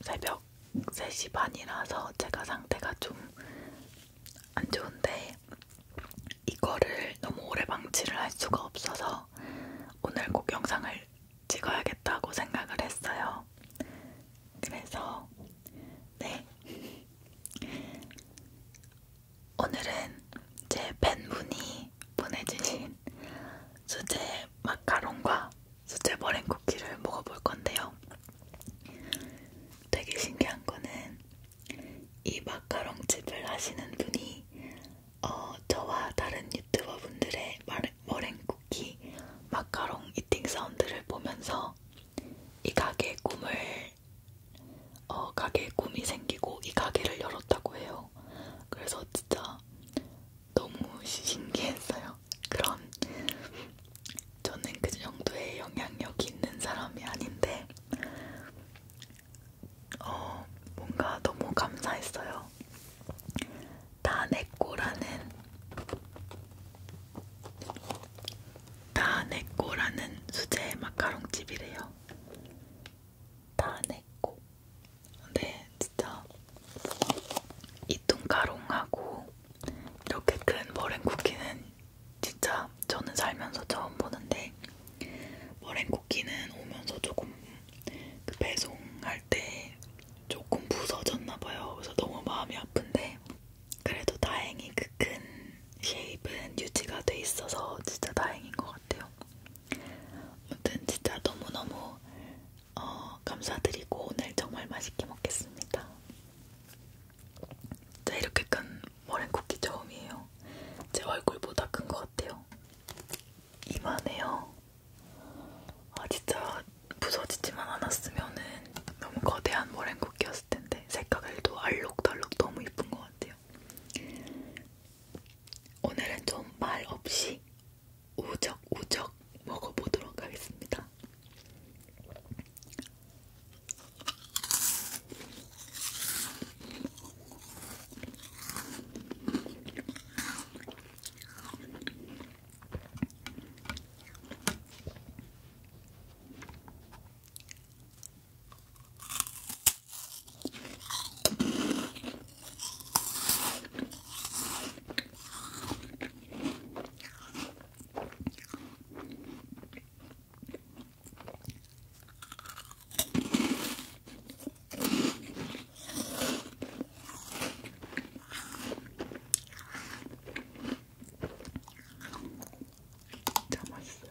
새벽 3시 반이라서 제가 상태가 좀 안 좋은데 이거를 너무 오래 방치를 할 수가 없어서 오늘 꼭 영상을 찍어야겠다고 생각을 했어요. 그래서 네 오늘은 제 팬분이 보내주신 수제 마카롱과 수제 머랭 쿠키를 먹어볼 건데요. 되게 신기한 거는 이 마카롱집을 하시는 분이 어, 저와 다른 유튜버 분들의 머랭 쿠키 마카롱 이팅 사운드를 보면서 이 가게의 꿈을 어, 가게의 꿈이 생기고 이 가게를 열었다고 해요. 그래서 진짜 너무 신기했어요. 그런 저는 그 정도의 영향력이 있는 사람이 아닌데 어, 뭔가 너무 감사했어요. 다내꼬라는 다내꼬라는 수제 마카롱집이래요. 다내꼬 근데 진짜 이 뚱가롱하고 이렇게 큰 머랭쿠키는 진짜 저는 살면서 처음 보는데 머랭쿠키는 오면서 조금 그 배송할 때 조금 부서졌나 봐요. 그래서 너무 마음이 아픈데 그래도 다행히 그 큰 쉐입은 유지가 돼 있어서 진짜 다행인 것 같아요. 아무튼 진짜 너무너무 어, 감사드리고 오늘 정말 맛있게 먹겠습니다. 자, 이렇게 큰 머랭쿠키 처음이에요. 제 얼굴보다 큰 것 같아요. 이만해요. 아, 진짜 부서지지만 않았으면은 너무 거대한 머랭쿠키였을 텐데 색깔도 알록달록 너무 이쁜 것 같아요. 오늘은 좀 말 없이 우적우적 먹어보도록 하겠습니다. 진짜 맛있어요.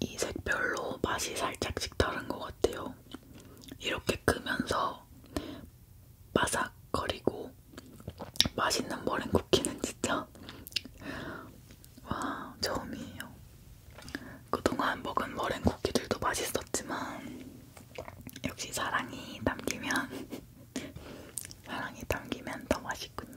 이 색별로 맛이 살짝씩 다른 것 같아요. 이렇게 크면서 바삭거리고 맛있는 머랭쿠키는 진짜 와 처음이에요. 그동안 먹은 머랭쿠키들도 맛있었지만 역시 사랑이 담기면 사랑이 담기면 더 맛있군요.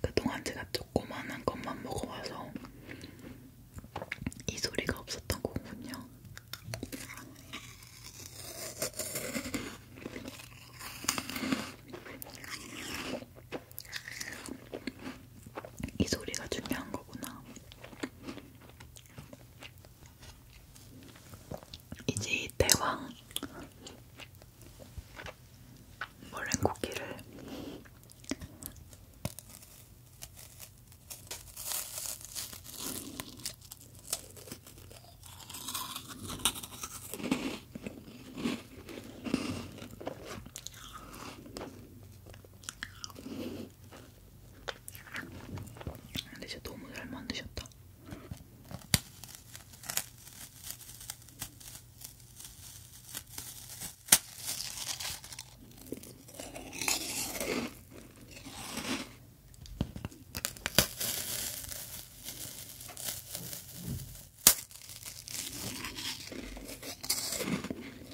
그동안 제가 조그만한 것만 먹어봐서 이 소리가 없었던 거군요. 이 소리가 중요한 거구나. 이제 이 대왕 머랭 쿠키를 근데 진짜 너무 잘 만드셨다.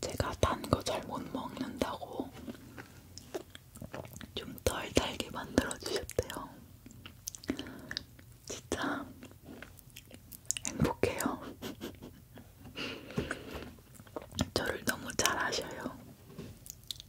제가 단 거 잘 못 먹는다고 좀 덜 달게 만들어 주셨대요. 진짜 행복해요. 저를 너무 잘 아셔요.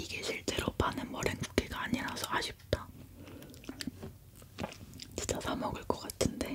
이게 실제로 파는 머랭쿠키가 아니라서 아쉽다. 진짜 사 먹을 것 같은데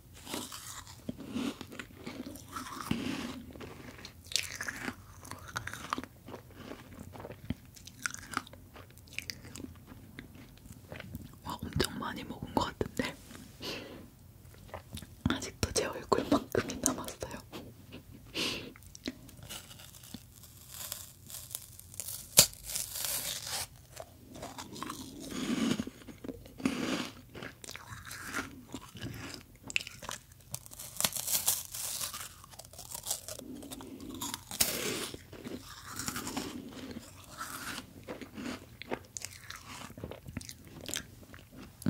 와, 엄청 많이 먹은 것 같은데 아직도 제 얼굴만큼이 남았어요.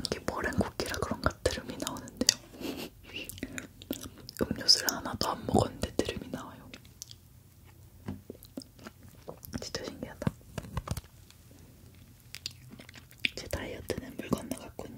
이게 머랭 쿠키라 그런가 드름이 나오는데요. 음료수를 하나도 안 먹었는데 드름이 나와요. 진짜 신기하다. 제 다이어트는 물 건너갔군요.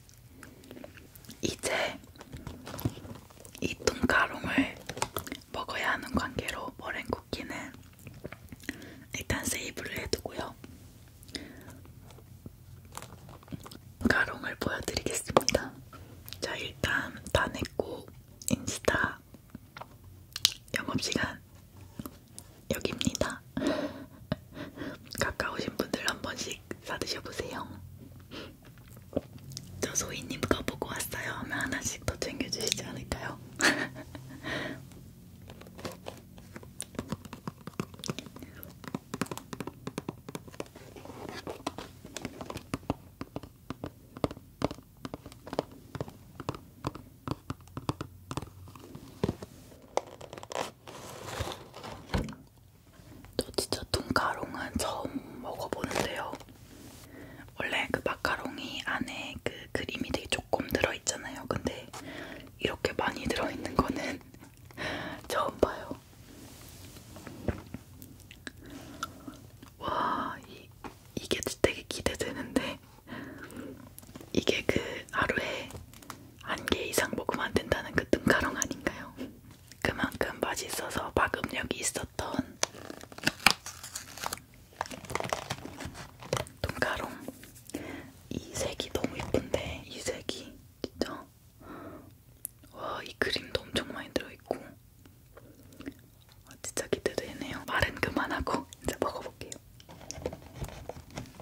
이제 이 뚱가롱을 먹어야 하는 관계로 머랭쿠키는 일단 세이브를 해두고요. 가롱을 보여드리겠습니다. 자, 일단 다 냈고 인스타 영업시간 여기입니다. 가까우신 분들 한 번씩 사드셔보세요. 저 소희님 거 보고 왔어요 하면 하나씩 더 챙겨주시지 않을까요? 저 진짜 뚱가롱은 처음 먹어보는데요. 원래 그 마카롱이 안에 그 그림이 되게 조금 들어있잖아요. 근데 이렇게 많이 들어있는 거는 처음 봐요. 와, 이, 이게 되게 기대되는데. 이게 그 하루에 한 개 이상 먹으면 안 된다는 그 뜬가롱 아닌가요? 그만큼 맛있어서 파급력이 있었던 돈가롱 이 색이 너무 예쁜데 이 색이 진짜 와이 그림도 엄청 많이 들어있고 아, 진짜 기대되네요 말은 그만하고 이제 먹어볼게요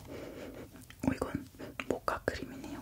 어, 이건 모카 크림이네요.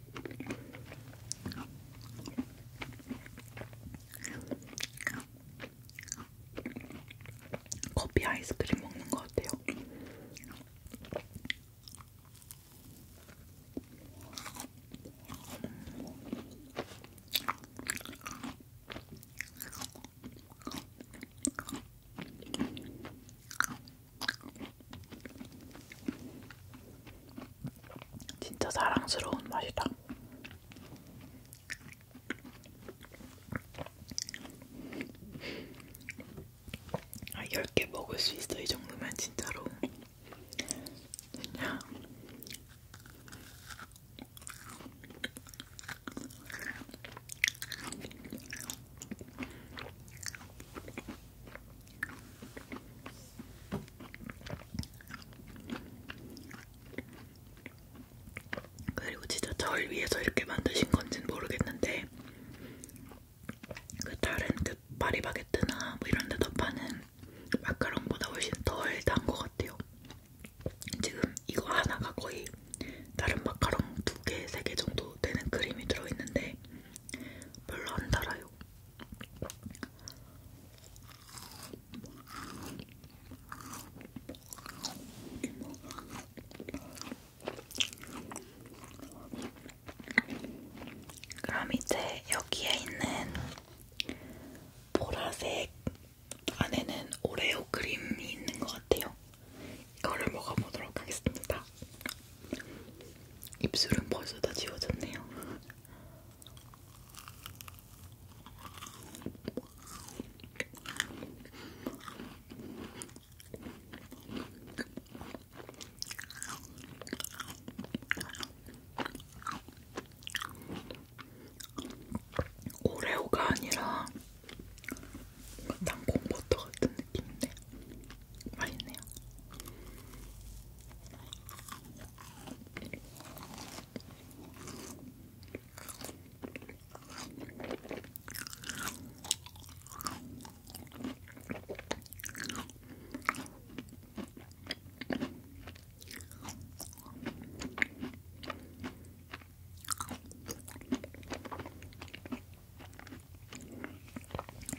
커피 아이스크림 먹는 것 같아요. 진짜 사랑스러운 맛이다. 아, 10개 먹을 수 있어. 이 정도면 진짜로. 그냥 그리고 진짜 절 위해서 이렇게 만드신 건지는 모르겠는데 그 다른 그 파리바게트나 뭐 이런 데서 파는 마카롱보다 훨씬 덜 단 것 같아요. 지금 이거 하나가 거의 다른 마카롱 두 개, 세 개 정도 되는 크림이 들어있는데 별로 안 달아요. 그럼 이제 여기에 있는 보라색 안에는 오레오 크림이 있는 것 같아요. 이거를 먹어보도록 하겠습니다. 입술은 벌써 다 지워졌네요. 오레오가 아니라 뭔가 땅콩버터 같은 느낌인데 맛있네요.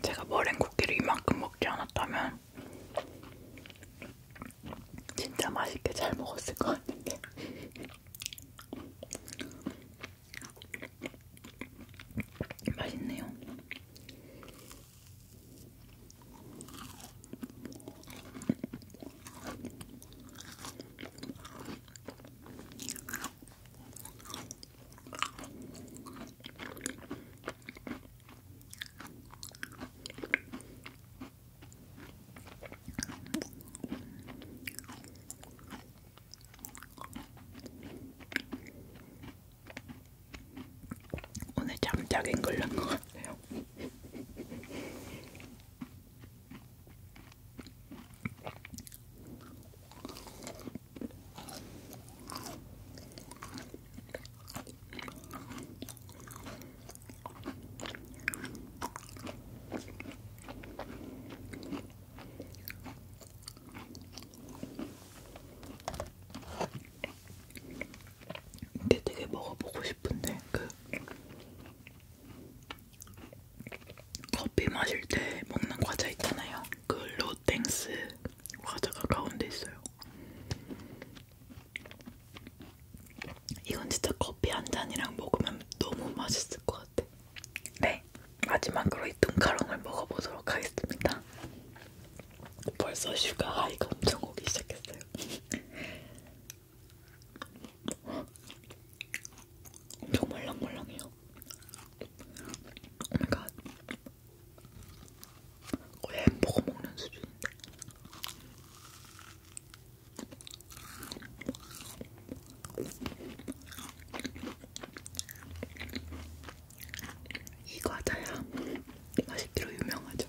제가 머랭 쿠키를 이만큼 먹지 않았다면 진짜 맛있게 잘 먹었을 것 같은데 맛있네요. 오늘 잠자긴 걸린 것 같아요. 이게 되게 먹어보고 싶은데 그 커피 마실 때 먹는 과자 있잖아요. 그 로땡스 과자가 가운데 있어요. 이건 진짜 커피 한 잔이랑 먹으면 너무 맛있을 것 같아. 네, 마지막으로 이 뚱카롱을 먹어보도록 하겠습니다. 벌써 슈가 하이가 엄청 오기 시작했어요. 엄청 말랑말랑해요. 오마이갓 그러니까 거의 햄버거 먹는 수준인데 이 과자야 맛있기로 유명하죠.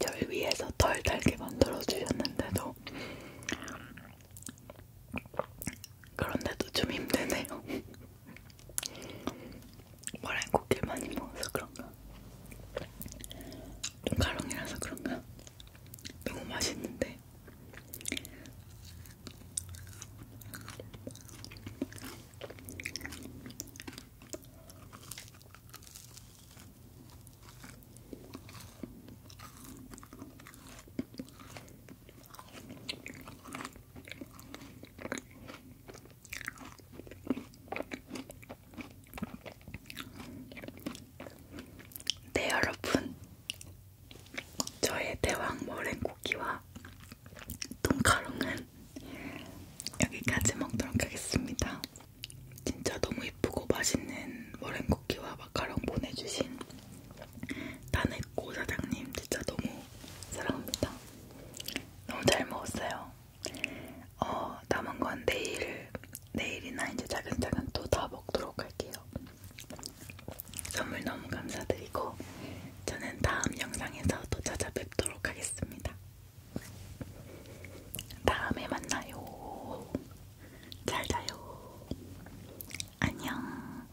절 위에서 덜 달게 만들어 주셨는데도 그런데도 좀 힘드네요. 머랭고기 많이 먹어서 그런가? 좀 가롱이라서 그런가? 너무 맛있는데 네 여러분 저의 대왕 머랭쿠키와 돈가롱은 여기까지 먹도록 하겠습니다 진짜 너무 이쁘고 맛있는 머랭쿠키와 마카롱 보내주신 다네코 사장님 진짜 너무 사랑합니다 너무 잘 먹었어요 어, 남은 건 내일, 내일이나 이제 차근차근 또 다 먹도록 할게요. 선물 너무 감사드리고, 저는 다음 영상에서 또 찾아뵙도록 하겠습니다. 다음에 만나요. 잘 자요. 안녕.